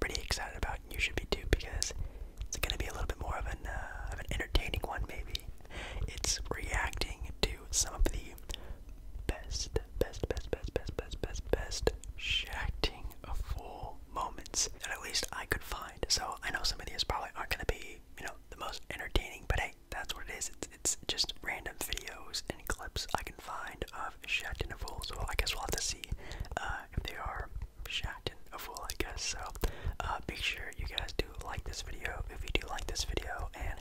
pretty excited about, and you should be too, because it's going to be a little bit more of an uh, of an entertaining one, maybe. It's reacting to some of the best, best, best, best, best, best, best, best shacking full moments that at least I could find. So I know some of these probably aren't going to be, you know, the most entertaining, but hey, that's what it is. It's it's just random videos and clips I can find of Shaq Full. So I guess we'll have to see uh, uh, if they are shacked a fool, I guess. So uh, make sure you guys do like this video if you do like this video, and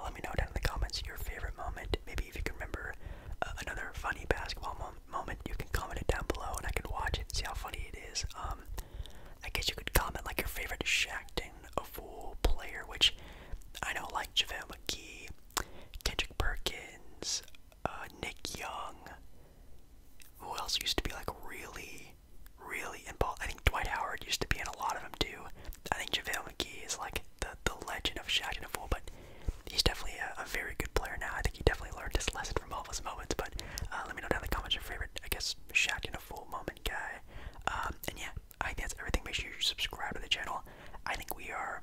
let me know down in the comments your favorite moment. Maybe if you can remember uh, another funny basketball moment, you can comment it down below, and I can watch it and see how funny it is. Um, I guess you could comment like your favorite Shackton a fool player, which I know like JaVale McGee, Kendrick Perkins, uh, Nick Young. Who else used to be like really, really involved? I think Dwight Howard used to be in a lot of them too. I think JaVale McGee is like the, the legend of Shaq and a fool, but he's definitely a, very good player now. I think he definitely learned his lesson from all those moments. But uh, let me know down in the comments your favorite, I guess, Shaq and a fool moment guy. Um, and yeah, I think that's everything. Make sure you subscribe to the channel. I think we are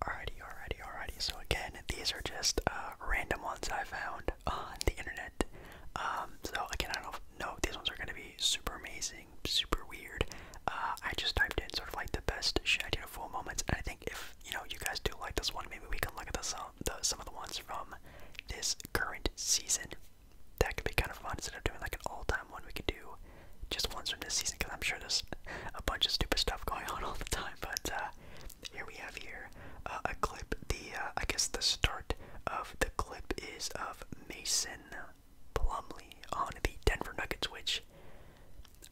Alrighty, alrighty, alrighty. So again, these are just uh, random ones I found on the internet. Um, so again, I don't know if these ones are gonna be super amazing, super weird. Uh, I just typed in sort of like the best Shad Uniform moments, and I think if you know you guys do like this one, maybe we can look at some, the, some of the ones from this current season. That could be kind of fun. Instead of doing like an all-time one, we could do just once from this season because I'm sure there's a bunch of stupid stuff going on all the time. But uh, here we have here uh, a clip. The uh, I guess the start of the clip is of Mason Plumley on the Denver Nuggets, which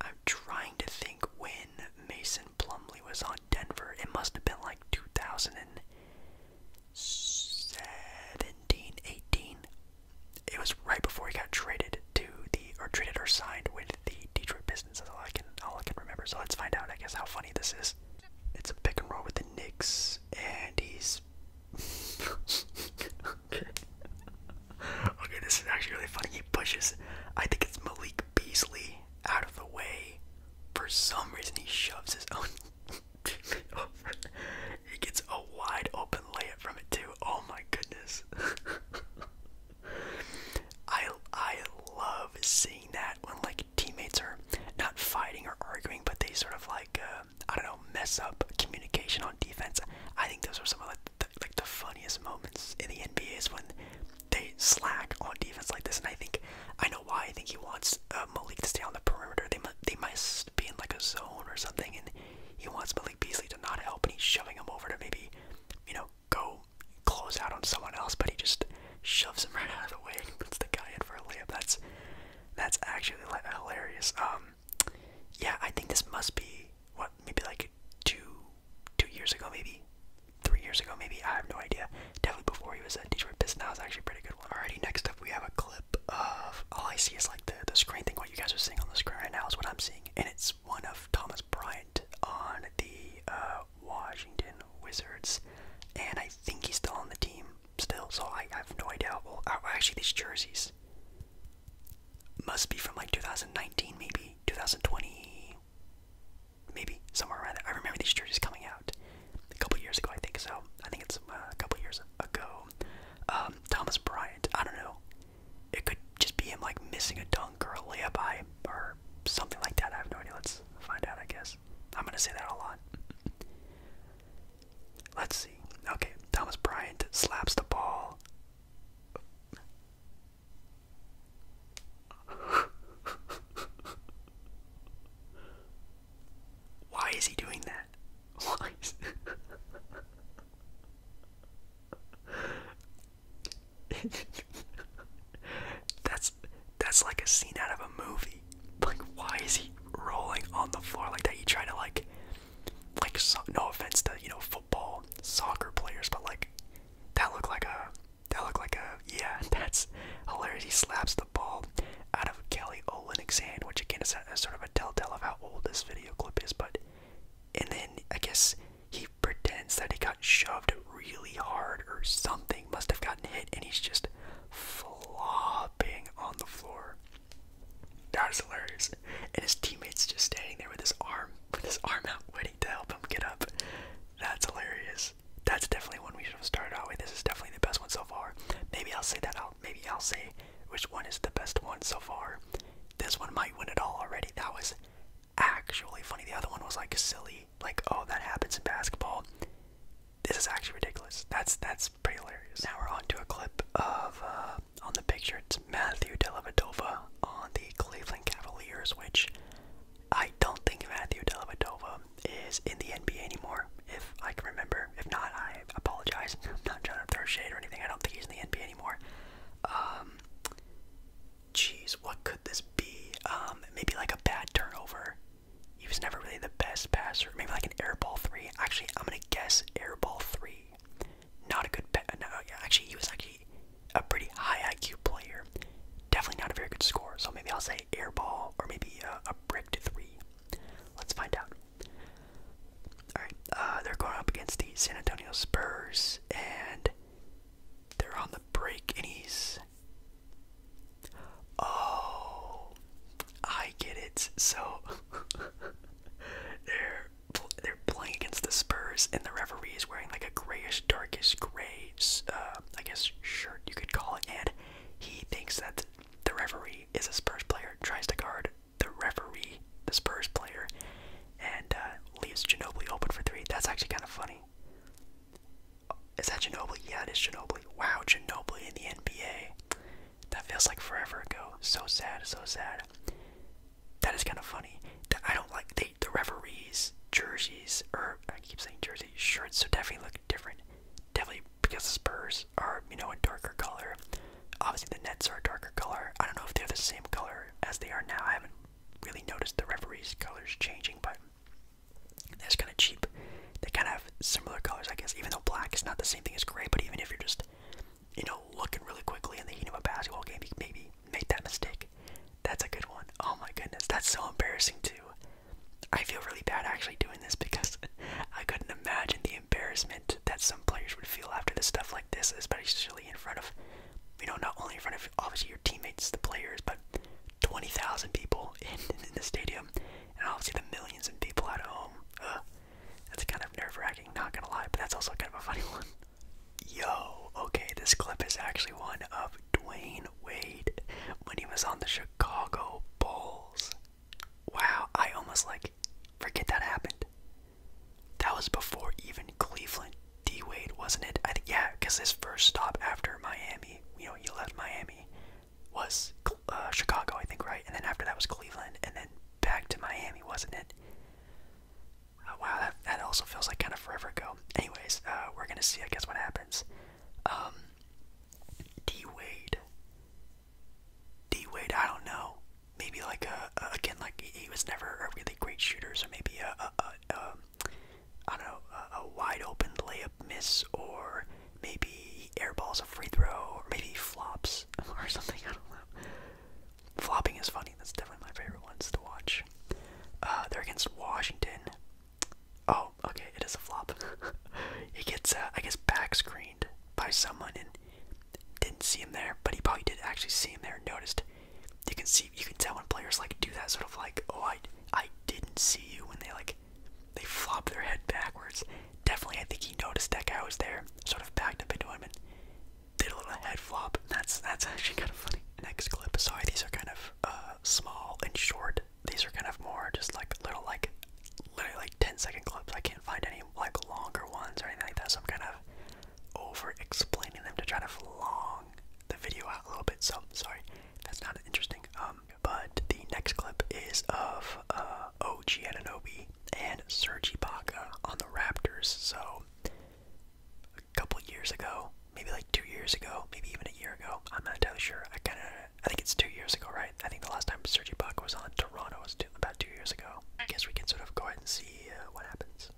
I'm trying to think when Mason Plumley was on Denver. It must have been like 2017, 18. It was right before he got traded to the or traded or signed with the Detroit Pistons. That's all I can all I can remember. So let's find out. I guess how funny this is. It's a pick and roll with the Knicks, and he's okay. okay, this is actually really funny. He pushes. I think it's Malik Beasley out of the way. For some reason, he shoves his own. he gets a wide open layup from it too. Oh my goodness. I I love seeing that when like teammates are not fighting or arguing, but they sort of like uh, I don't know mess up communication on defense. I think those are some of like the, funniest moments in the NBA is when they slack on defense like this. And I think I know why. I think he wants uh, Malik to stay on the perimeter. They they might be in like a zone or something, and he wants Malik Beasley to not help, and he's shoving him over to maybe you know go close out on someone else, but he just shoves him right out of the way and puts the guy in for a layup. That's that's actually hilarious. Um, yeah, I think this must be what maybe like two two years ago, maybe three years ago, maybe I have no idea. Definitely before he was at Detroit Pistons. That was actually pretty good one. Alrighty, next up we have a clip of all oh, I see is like the the screen thing. What you guys are seeing on the screen right now is what I'm seeing, and it's was one of Thomas Bryant on the uh, Washington Wizards, and I think he's still on the team still. So I, I have no idea. Well, uh, actually, these jerseys must be from like 2019, maybe 2020, maybe somewhere around there. I remember these jerseys coming out a couple years ago. I think so. I think it's uh, a couple years ago. Um, Thomas Bryant. I don't know. It could just be him like missing a dunk or a layup or something like that. I have no idea. Let's find out, I guess. I'm gonna say that a lot. Let's see. Okay, Thomas Bryant slaps the ball. Why is he doing that? Why? that's that's like a scene out of a movie. Like, why is he rolling on the floor like that? He's trying to like, like no offense to you know football, soccer players, but like that looked like a that looked like a yeah. That's hilarious. slaps the ball out of Kelly Olynyk's hand, which again is sort of a telltale of how old this video clip is. But and then I guess he pretends that he got shoved really hard or something, must have gotten hit, and he's just flopping on the floor. That is hilarious. And his teammates just standing there with his arm with his arm out waiting to help him get up. That's hilarious. That's definitely one we should have started out with. This is definitely the best one so far. Maybe I'll say that out. Maybe I'll say which one is the best one so far. This one might win it all already. That was actually funny. The other one was like silly, like oh that happens in basketball. This is actually ridiculous. That's that's pretty hilarious. Now we're on to a clip of uh, on the picture. It's Matthew Dellavedova on the Cleveland Cavaliers, which I don't think Matthew Dellavedova is in the NBA anymore. If I can remember, if not, I apologize. I'm not trying to throw shade or anything. I don't think he's in the NBA anymore. Um, Jeez, what could this be? Um, maybe like a bad turnover. He was never really the best passer. Maybe like an airball three. Actually, I'm gonna guess airball three. Not a good. Pa no, yeah, actually, he was actually a pretty high IQ player. Definitely not a very good scorer. So maybe I'll say airball or maybe uh, a brick to three. Let's find out. All right, uh, they're going up against the San Antonio Spurs, and they're on the break and he's. Oh, I get it. So they're they're playing against the Spurs, and the referee is wearing like a grayish, darkish gray, uh, I guess shirt you could call it. And he thinks that the referee is a Spurs player, tries to guard the referee, the Spurs player, and uh, leaves Ginobili open for three. That's actually kind of funny. Is that Ginobili? Yeah, it is Ginobili. Wow, Ginobili in the NBA. That feels like forever ago. So sad, so sad. That is kind of funny. I don't like the, the referees' jerseys, or I keep saying jerseys, shirts, so definitely look different. Definitely because the Spurs are, you know, a darker color. Obviously, the Nets are a darker color. I don't know if they're the same color as they are now. I haven't really notice the referee's colors changing, but that's kind of cheap. They kind of have similar colors, I guess, even though black is not the same thing as gray, but even if you're just, you know, looking really quickly in the heat of a basketball game, you maybe make that mistake. That's a good one. Oh my goodness, that's so embarrassing too. I feel really bad actually doing this because I couldn't imagine the embarrassment that some players would feel after this stuff like this, especially in front of, you know, not only in front of obviously your teammates, the players, but 20,000 people in, the stadium, and obviously the millions of people at home. that's kind of nerve wracking, not gonna lie, but that's also kind of a funny one. Yo, okay, this clip is actually one of Dwayne Wade when he was on the Chicago Bulls. Wow, I almost like forget that happened. That was before even Cleveland D Wade, wasn't it? I think yeah, because his first stop after Miami, you know, he left Miami, was uh, Chicago, I think, right? And then after that was Cleveland, and then back to Miami, wasn't it? Uh, wow, that that also feels like kind of forever ago. Anyways, uh, we're gonna see, I guess, what happens. Um, D Wade, D Wade, I don't know. Maybe like a, again, like he was never a really great shooter, so maybe a, a, a um, I don't know, a, wide open layup miss, or maybe airballs a free throw, or maybe flops or something. I don't know. Flopping is funny. That's definitely my favorite ones to watch. Uh, they're against Washington. Oh, okay, it is a flop. he gets, uh, I guess, back screened by someone and didn't see him there, but he probably did actually see him there and noticed you can see you can tell when players like do that sort of like oh I I didn't see you when they like they flop their head backwards. Definitely I think he noticed that guy was there, sort of backed up into him and did a little head flop. That's that's actually kind of funny. Next clip. Sorry, these are kind of uh small and short. These are kind of more just like little like literally like ten second clips. I can't find any like longer ones or anything like that, so I'm kind of over explaining them to try to long the video out a little bit, so sorry, that's not interesting. Um, but the next clip is of uh, OG Ananobi and Serge Ibaka on the Raptors. So a couple years ago, maybe like two years ago, maybe even a year ago. I'm not entirely sure. I kind of, I think it's two years ago, right? I think the last time Serge Ibaka was on Toronto was two, about two years ago. I guess we can sort of go ahead and see uh, what happens.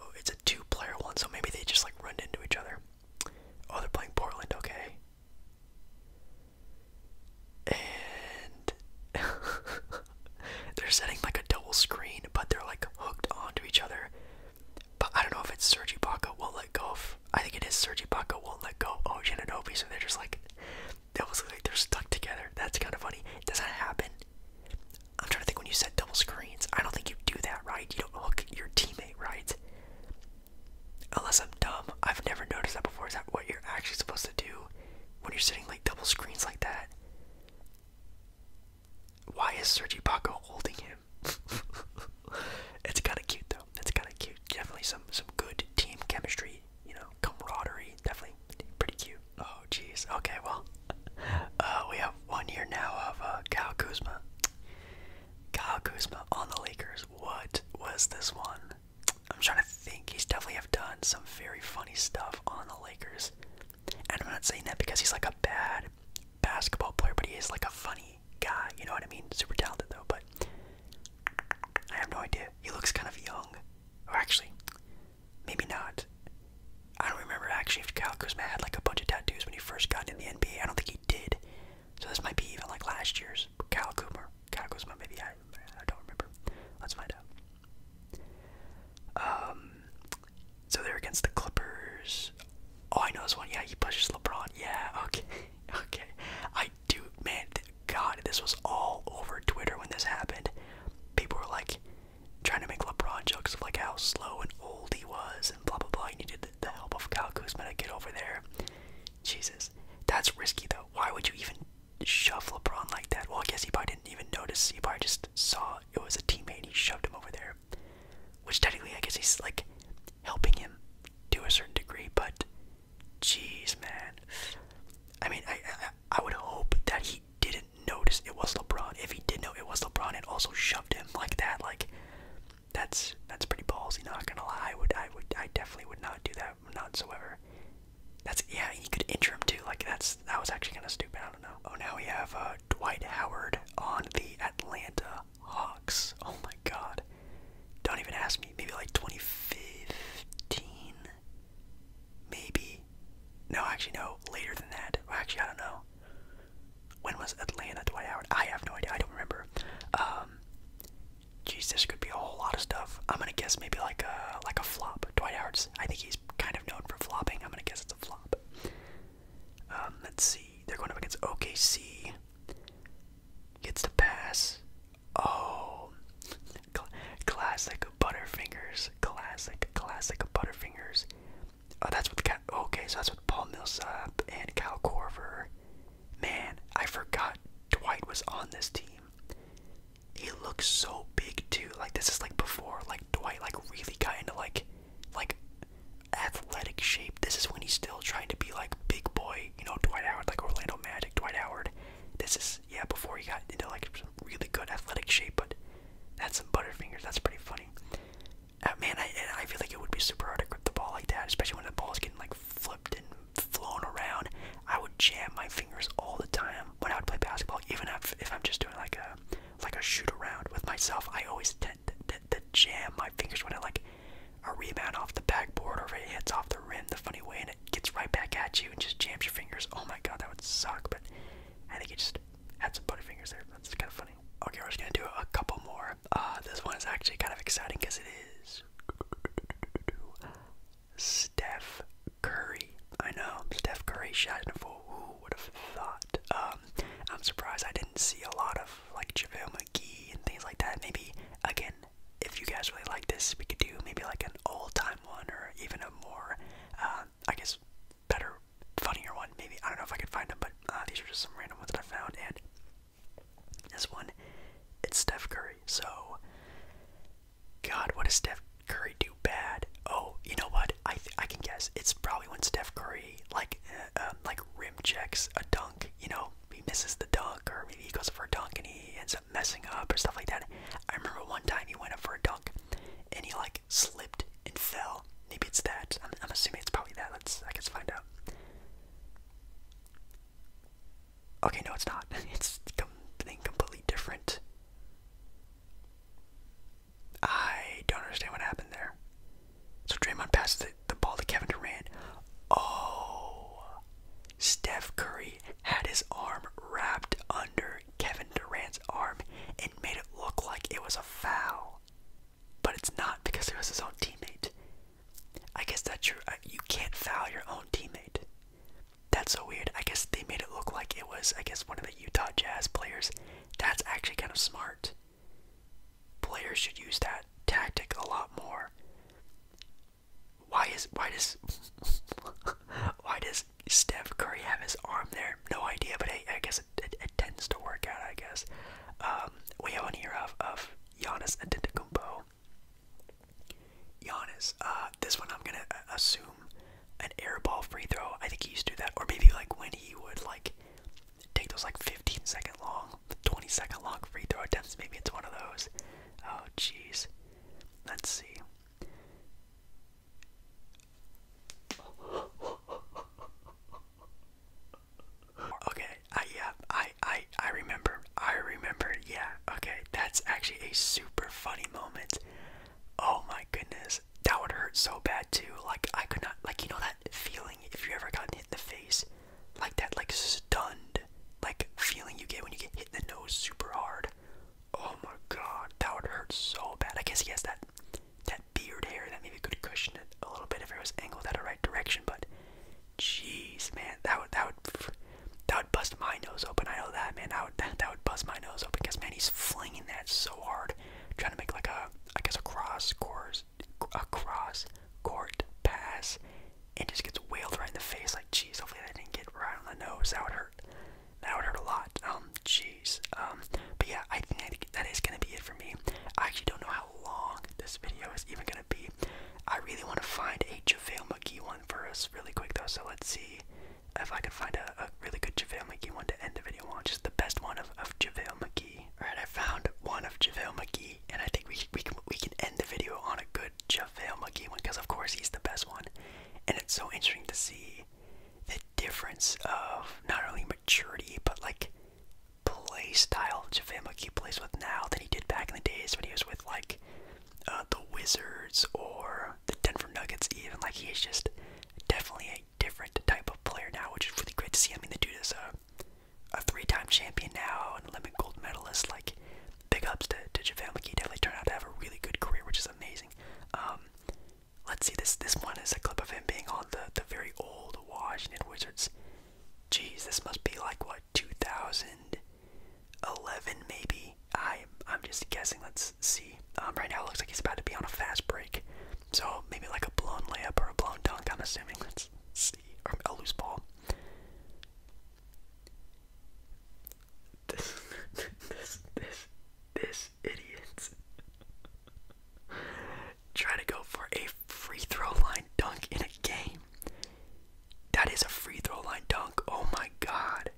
Oh, it's a two-player one, so maybe they just like run into each other. Oh, they're playing Portland, okay. And they're setting like a double screen, but they're like hooked onto each other. But I don't know if it's Sergi Baca won't let go of. I think it is Sergi Baca won't let go of Ananobi, so they're just like, it was like they're stuck together. That's kind of funny. It Does not happen? I'm trying to think when you said double screens. I don't think you do that, right? You don't hook your teammate, right? Unless I'm dumb. I've never noticed that before. Is that what you're actually supposed to do when you're sitting like double screens like that? Why is Sergi Paco holding him? it's kind of cute though. It's kind of cute. Definitely some some good team chemistry, you know, camaraderie. Definitely pretty cute. Uh, Oh, jeez. Okay, well, uh, we have one year now of uh, Kyle Kuzma. Kyle Kuzma on the Lakers. What was this one? I'm trying to think. He's definitely have done some very funny stuff on the Lakers. And I'm not saying that because he's like a bad basketball player, but he is like a funny guy. You know what I mean? Super talented though, but I have no idea. He looks kind of young. Or actually, maybe not. I don't remember actually if Kyle Kuzma had like a bunch of tattoos when he first got in the NBA. I don't think he did. So this might be even like last year's Kyle Kuzma. Kyle Kuzma, maybe I, I don't remember. Let's find out. Um, so they're against the Clippers. Oh, I know this one. Yeah, he pushes LeBron. Yeah, okay, okay. I do, man. God, this was all over Twitter when this happened. People were like, trying to make LeBron jokes of like how slow and old he was and blah blah blah. He needed the help of Kyle Kuzma to get over there. Jesus, that's risky though. Why would you even shove LeBron like that? Well, I guess he probably didn't even notice. He probably just saw it was a teammate. and He shoved him over there, which technically I guess he's like helping him to a certain degree. But jeez, man. I mean, I, I would hope that he didn't notice it was LeBron. If he did know it was LeBron and also shoved him like that, like that's that's pretty ballsy, not gonna lie. I would I would I definitely would not do that Not whatsoever. That's yeah, you could injure him too. Like that's that was actually kinda stupid, I don't know. Oh now we have uh, Dwight Howard on the Atlanta Hawks. Oh my god. Don't even ask me. Maybe like 2015? Maybe. No, actually, no. Later than that. Actually, I don't know. When was Atlanta Dwight Howard? I have no idea. I don't remember. Um, Jesus, this could be a whole lot of stuff. I'm gonna guess maybe like a like a flop. Dwight Howard's. I think he's kind of known for flopping. I'm gonna guess it's a flop. Um, let's see. They're going up against OKC. Gets the pass. Oh, cl classic Butterfingers. Classic, classic Butterfingers. Oh, that's what the guy. Okay, so that's what Paul Millsap and Cal Corver. Man, I forgot Dwight was on this team. He looks so big too. Like this is like before. Like Dwight, like really got into like, like, athletic shape. This is when he's still trying to be like big boy. You know, Dwight Howard, like Orlando Magic, Dwight Howard. This is yeah before he got into like really good athletic shape. But that's some butterfingers. That's pretty funny. Uh, man, I I feel like it would be super hard to grip the ball like that, especially when the ball is getting like flipped and flown around. I would jam my fingers all the time when I would play basketball, even if if I'm just doing like a like a shoot around with myself. I always tend to, to, jam my fingers when I like a rebound off the backboard or if it hits off the rim the funny way and it gets right back at you and just jams your fingers. Oh my god, that would suck. But I think it just had some funny fingers there. That's kind of funny. Okay, we're just gonna do a couple more. Uh, this one is actually kind of exciting because it is Steph Curry. I know Steph Curry shot in a Who would have thought? Um, I'm surprised I didn't see a lot of like JaVale McGee and things like that. Maybe again, if you guys really like this, we could do maybe like an old time one or even a more, uh, I guess better, funnier one, maybe. I don't know if I can find them, but uh, these are just some random ones that I found. And this one, it's Steph Curry. So, God, what does Steph Curry do bad? Oh, you know what? I I can guess. It's probably when Steph Curry like uh, um, like rim checks a dunk. You know, he misses the dunk, or maybe he goes for a dunk and he ends up messing up or stuff like that. I remember one time he went up for a dunk, and he like slipped and fell. Maybe it's that. I'm, assuming it's probably that. Let's I guess find out. Okay, no, it's not. It's something completely different. I don't understand what happened there. So Draymond passes the, the ball to Kevin Durant. Oh, Steph Curry had his arm wrapped under Kevin Durant's arm and made it look like it was a foul but it's not because it was his own teammate. I guess that's true. You can't foul your own teammate. That's so weird. I guess they made it look like it was, I guess, one of the Utah Jazz players. That's actually kind of smart. Players should use that tactic a lot more. Why is why does why does Steph Curry have his arm there? No idea, but I, guess it, it tends to work out. I guess um, we have one here of, of Giannis Antetokounmpo. Giannis, uh, this one I'm gonna uh, assume an airball free throw. I think he used to do that, or maybe like when he would like take those like 15 second long, 20 second long free throw attempts. Maybe it's one of those. Oh, jeez. Let's see. Okay, yeah, I I I remember. I remember. Yeah. Okay, that's actually a super funny moment. Oh my goodness, that would hurt so bad too. Like I could not. Like you know that feeling if you ever gotten hit in the face, like that like stunned like feeling you get when you get hit in the nose super hard. Oh my god, that would hurt so bad. I guess he has that that beard hair that maybe could cushion it a little bit if it was angled out the right direction. But jeez, man, that would that would that would bust my nose open. I know that, man. That would that, would bust my nose open because man, he's flinging that so hard, trying to make like a I guess a cross course a cross court pass, and just gets whaled right in the face. Like jeez, hopefully that didn't get right on the nose. That would hurt. That would hurt a lot. Um, jeez. Um, but yeah, I think that that is gonna be it for me. I actually don't know how long this video is even gonna be. I really want to find a JaVale McGee one for us really quick though, so let's see if I can find a, really good JaVale McGee one to end the video on. Just the best one of, of JaVale McGee. Alright, I found one of JaVale McGee, and I think we, we, can, we can end the video on a good JaVale McGee one, because of course he's the best one. And it's so interesting to see the difference of not only maturity, but like play style JaVale McGee plays with now than he did back in the days when he was with like uh, the Wizards or the Denver Nuggets. Even like he is just definitely a different type of player now, which is really great to see. I mean, the dude is a, a three-time champion now and Olympic gold medalist. Like big ups to, to JaVale McGee. Definitely turned out to have a really good career, which is amazing. Um, let's see this. This one is a clip of him being on the the very old Washington Wizards Jeez, this must be like what 2011 maybe. I I'm just guessing. Let's see. Um, right now it looks like he's about to be on a fast break, so maybe like a blown layup or a blown dunk. I'm assuming. Let's see. Or a loose ball. This this this this idiot. Try to go for a free throw line dunk in a game. That is a free throw line dunk. Oh my god.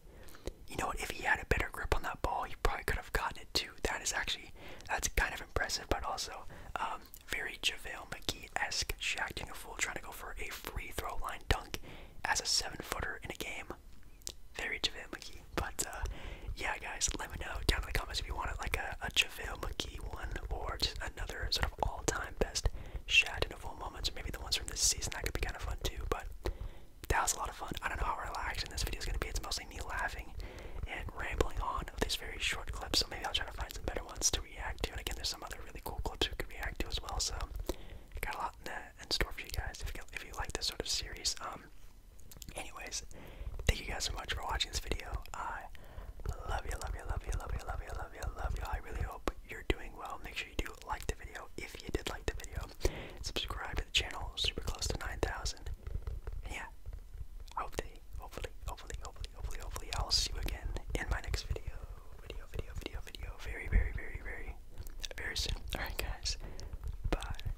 You know what? If he had a better grip on that ball, he probably could have gotten it too. That is actually, that's kind of impressive, but also um, very JaVale McGee esque. Shacking a fool trying to go for a free throw line dunk as a seven footer in a game. Very JaVale McGee. But uh, yeah, guys, let me know down in the comments if you wanted like a JaVale McGee one, or just another sort of all-time best Shad and full moments, maybe the ones from this season. That could be kind of fun too. But that was a lot of fun. I don't know how relaxing this video is going to be. It's mostly me laughing and rambling on of these very short clips. So maybe I'll try to find some better ones to react to. And again, there's some other really cool clips we could react to as well. So I got a lot in, in store for you guys if you, if you like this sort of series. Um, anyways, Thank you guys so much for watching this video. I love you, love you, love you, love you, love you, love you, love you. I really hope you're doing well. Make sure you do like the video if you did like the video. Subscribe to the channel, super close to 9,000. Yeah, hopefully, hopefully, hopefully, hopefully, hopefully, hopefully, I'll see you again in my next video. Video, video, video, video. Very, very, very, very, very soon. Alright, guys. Bye.